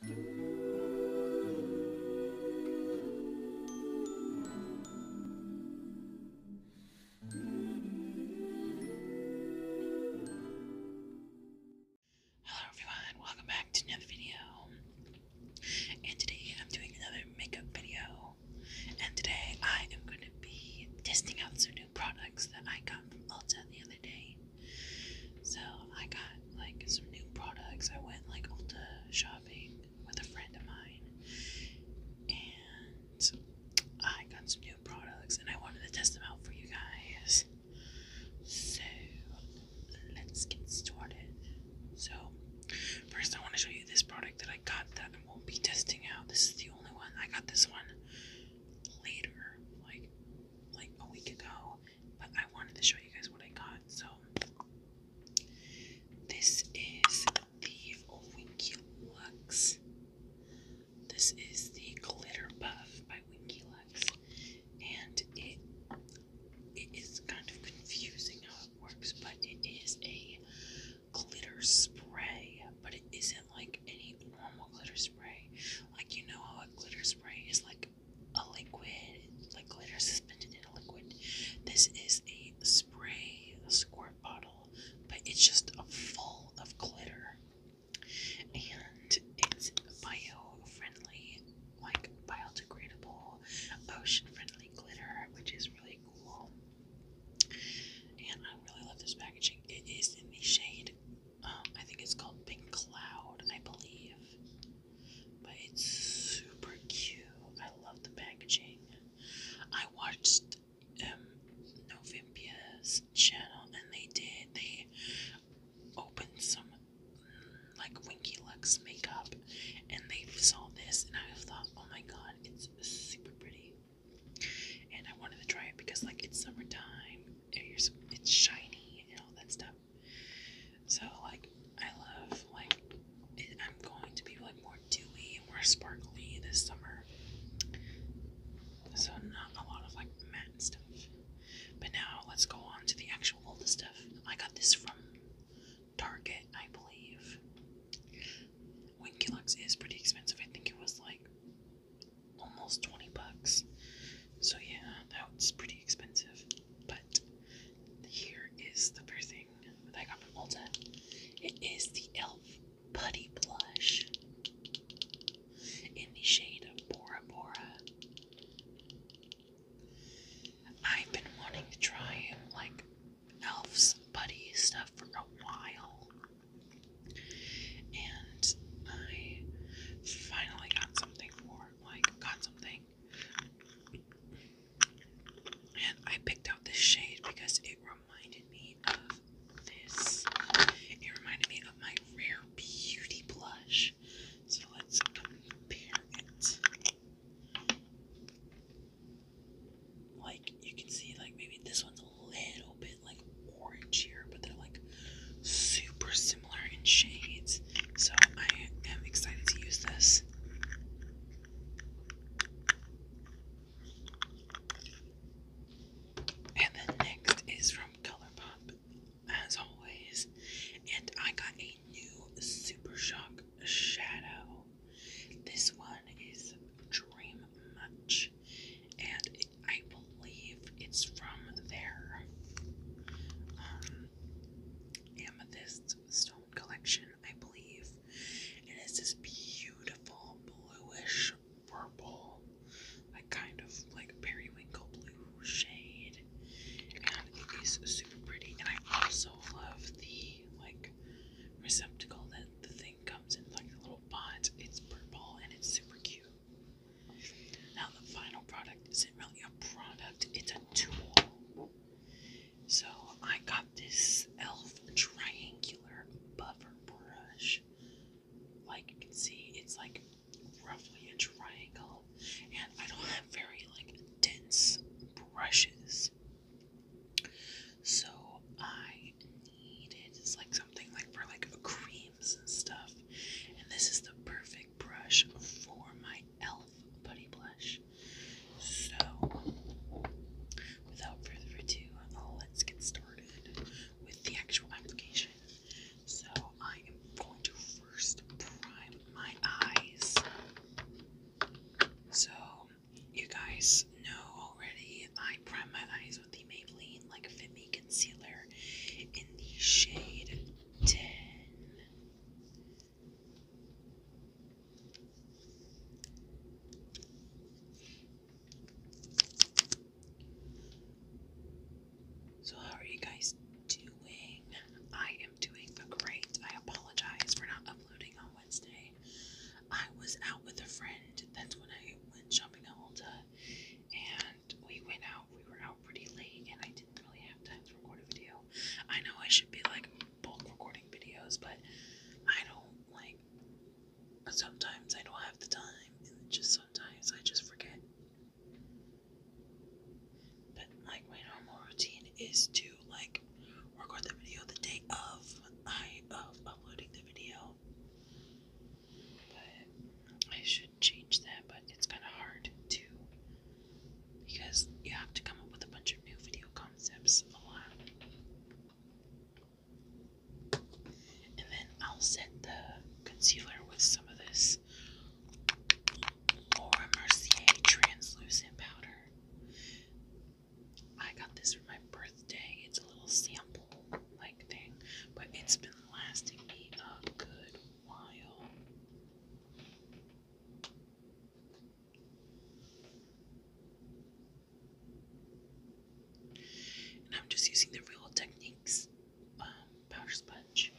Hello everyone, welcome back to another video. And today I'm doing another makeup video. And today I am going to be testing out some new products that I got from Ulta the other day. So I got like some new products. I went like Ulta shopping with a friend of mine, and I got some new products, and I wanted to test them out for you guys. So let's get started. So first, I want to show you this product that I got that I won't be testing out. This is the only one I got. This one later, like like a week ago, but I wanted to show you guys what I got. So this is the Winky Lux. This is the Glitter buff by Winky Lux, and it it is kind of confusing how it works, but it is a glitter spray, but it isn't like any normal glitter spray. Like you know how a glitter spray is like a liquid, like glitter suspended in a liquid. This is a spray a squirt bottle, but it's just a full of glitter. And it's bio-friendly, like biodegradable, ocean-friendly glitter, which is really cool. And I really love this packaging. It is in the shade um, I think it's called Pink Cloud, I believe. But it's super cute. I love the packaging. I watched um, Novimpia's channel and they did, they opened some mm, like Winky Lux makeup and they saw this and I thought, oh my god, it's super pretty. And I wanted to try it because like it's summertime it's, shiny and all that stuff. So like I love like it, I'm going to be like more dewy and more sparkly this summer. So not a lot of like matte stuff. But now let's go on to the actual stuff. I got this from Target, I believe. Winkelux is pretty expensive. I think it was like almost 20 bucks. So yeah, that was pretty expensive. But here is the first thing that I got from Ulta. It is the e.l.f. Putty Blush in the shade of Bora Bora. I've been wanting to try like Elf's putty stuff for a while and I finally got something more. like got something. And I picked out this shade because it reminded me of this. It reminded me of my Rare Beauty blush. So let's compare it. Like you can see, like maybe this one's a little bit like orange here, but they're like super similar in shades. So I am excited to use this. And then next is from ColourPop, as always. And I got a new Super Shock shadow. This one is Dream Match and I believe it's from their um, amethyst stone collection, I believe. And it's this beautiful bluish purple, like kind of like periwinkle blue shade, and it is super pretty. And I also love the like receptacle that the thing comes in, like a little pot. It's purple and it's super cute. Now, the final product isn't really a product, it's a tool. So, I got this e.l.f. triangular buffer brush. Like you can see, it's like roughly a triangle, and I don't have very like dense brushes. So, I needed. It's like something like for like creams and stuff. And this is the perfect brush for my elf putty blush. So without further ado, let's get started with the actual application. So I am going to first prime my eyes. So you guys know already I prime my eyes with the Maybelline like Fit Me concealer in the shade 10. So, how are you guys doing? I am doing great. I apologize for not uploading on Wednesday. I was out with a friend. That's when I went shopping at Ulta and we went out. We were out pretty late, and I didn't really have time to record a video. I know I should be like bulk recording videos, but I don't like. Sometimes I don't have the time, and just sometimes I just forget. But like my normal routine is to like record the video the day of I of uploading the video. But I should change that, but it's kind of hard too, because you have to come up with a bunch of new video concepts a lot. And then I'll set the concealer with some of this Laura Mercier translucent powder. I got this for my birthday. It's a little sample like thing, but it's been lasting me a good while. I'm just using the Real Techniques um, powder sponge.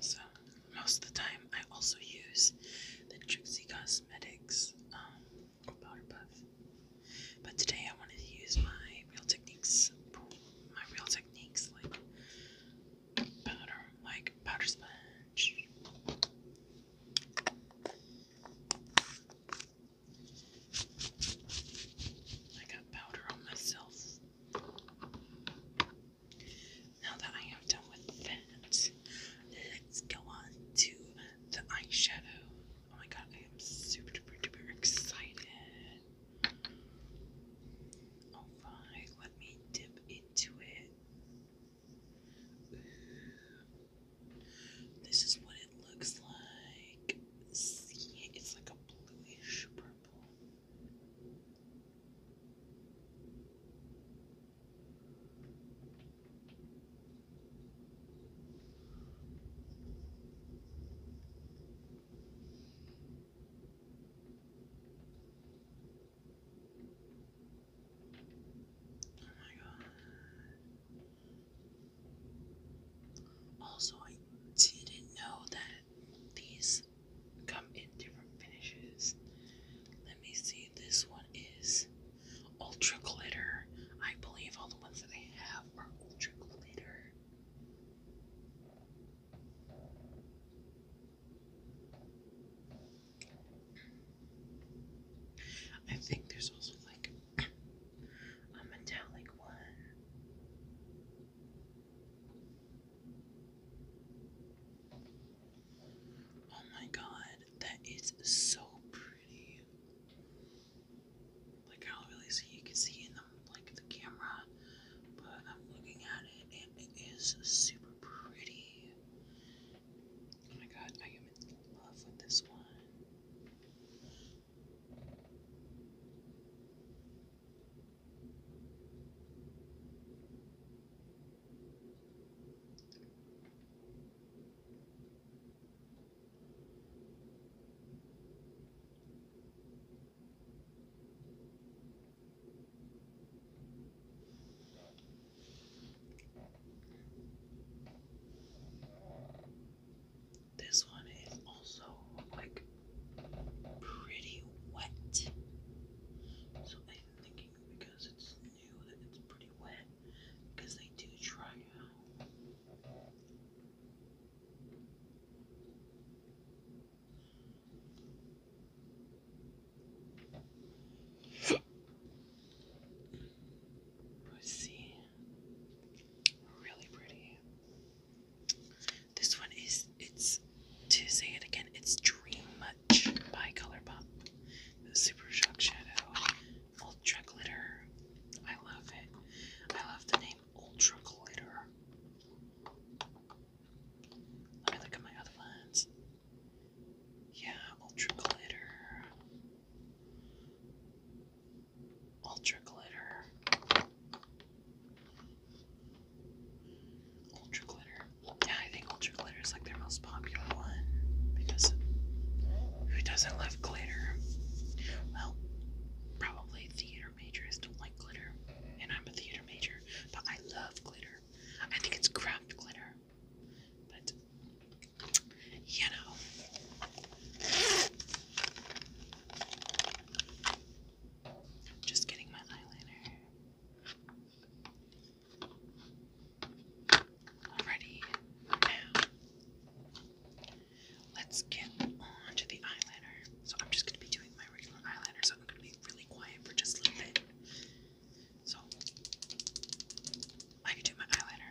So, most of the time, I also use the Trixie Cosmetics um, powder puff. But today I wanted to use my Real Techniques, my Real Techniques like powder, like powder sponge. I got powder on myself. Now that I am done with that, let's go on to the eyeshadow. Oh my god, I am super duper duper excited. Alright, oh let me dip into it. This is what it looks like. See, it's like a bluish purple. Oh my god. Also, I didn't know that these come in different finishes. Let me see, this one is Ultra Glitter. I believe all the ones that I have are Ultra Glitter. I think there's also like a metallic one. Oh my god, that is so pretty. Like I don't really see you can see in the like the camera, but I'm looking at it and it is super pretty. Oh my god, I am in love with this one. This one is also like pretty wet. So I'm thinking because it's it's pretty wet because they do dry out. let Really pretty. This one is, it's, to say it again, it's Dream by Color Super Shock Shadow Ultra Glitter. I love it. I love the name Ultra Glitter. Let me look at my other ones. Yeah, Ultra Glitter. Ultra Glitter. Ultra Glitter. Yeah, I think Ultra Glitter is like their most popular one because who doesn't love glitter? Well, probably theater majors don't like glitter, and I'm a theater major, but I love glitter. I think it's craft glitter, but you know. Just getting my eyeliner. Alrighty, now let's get on the eyeliner. So I'm just gonna be doing my regular eyeliner, so I'm gonna be really quiet for just a little bit. So I can do my eyeliner.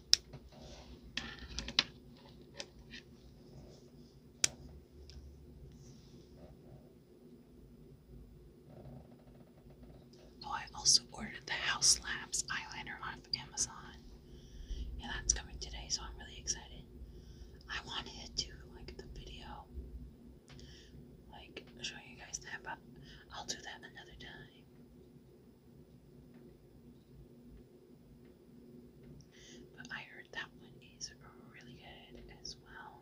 Oh, I also ordered the House Labs eyeliner off Amazon. Yeah, that's coming today, so I'm really excited. I wanted to like the video, like showing you guys that, but I'll do that another time. But I heard that one is really good as well.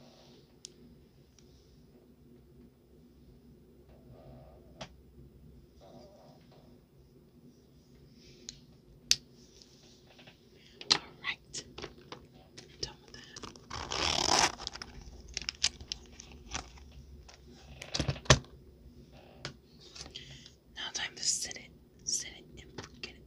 All right, done with that. Now time to sit it, sit it and forget it.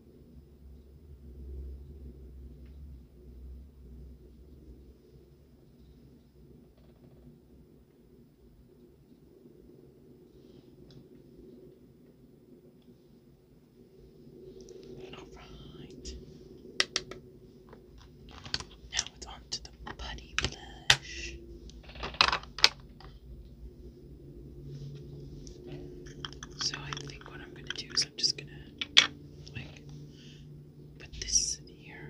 All right. Now it's on to the putty blush. So I think what I'm going to do is I'm just gonna like put this here.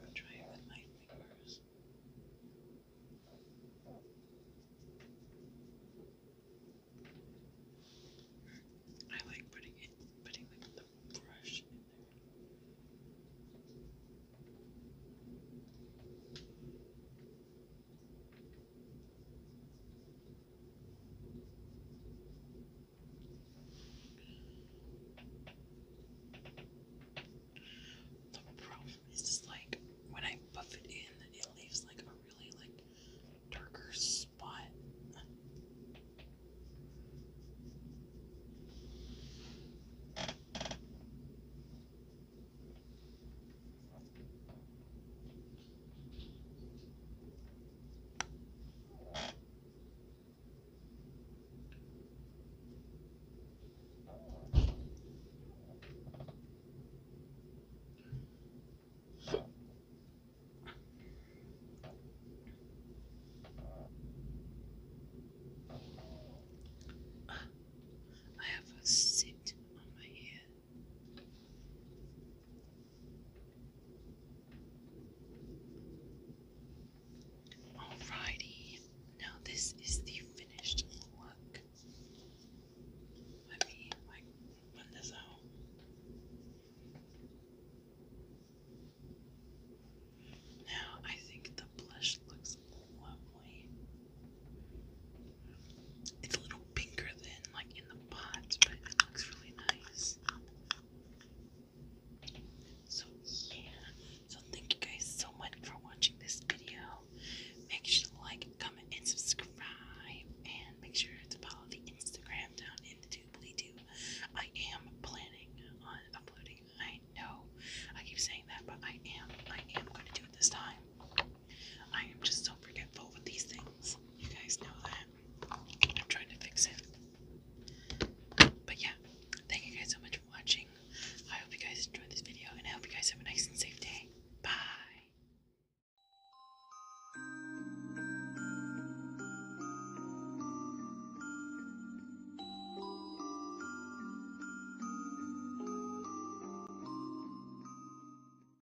I'll try it with my fingers. I like putting it, putting like the brush in there. The problem is just like when I buff it in, it leaves like a really like darker spot. I have a sit on my ear Alrighty, now this is the finished look. Let me like run this out. Now I think the blush looks lovely. It's a little pinker than like in the pot, but it looks really nice. So yeah, so thank you guys so much for watching this video. Make sure to like, comment, and subscribe, and make sure to follow the Instagram down in the doobly do. I am planning on uploading. I know I keep saying that, but I am. I am going to do it this time. I am just so forgetful with these things. You guys know that. I'm trying to fix it. But yeah, thank you guys so much for watching. I hope you guys enjoyed this video and I hope you guys have a nice and safe day. Bye.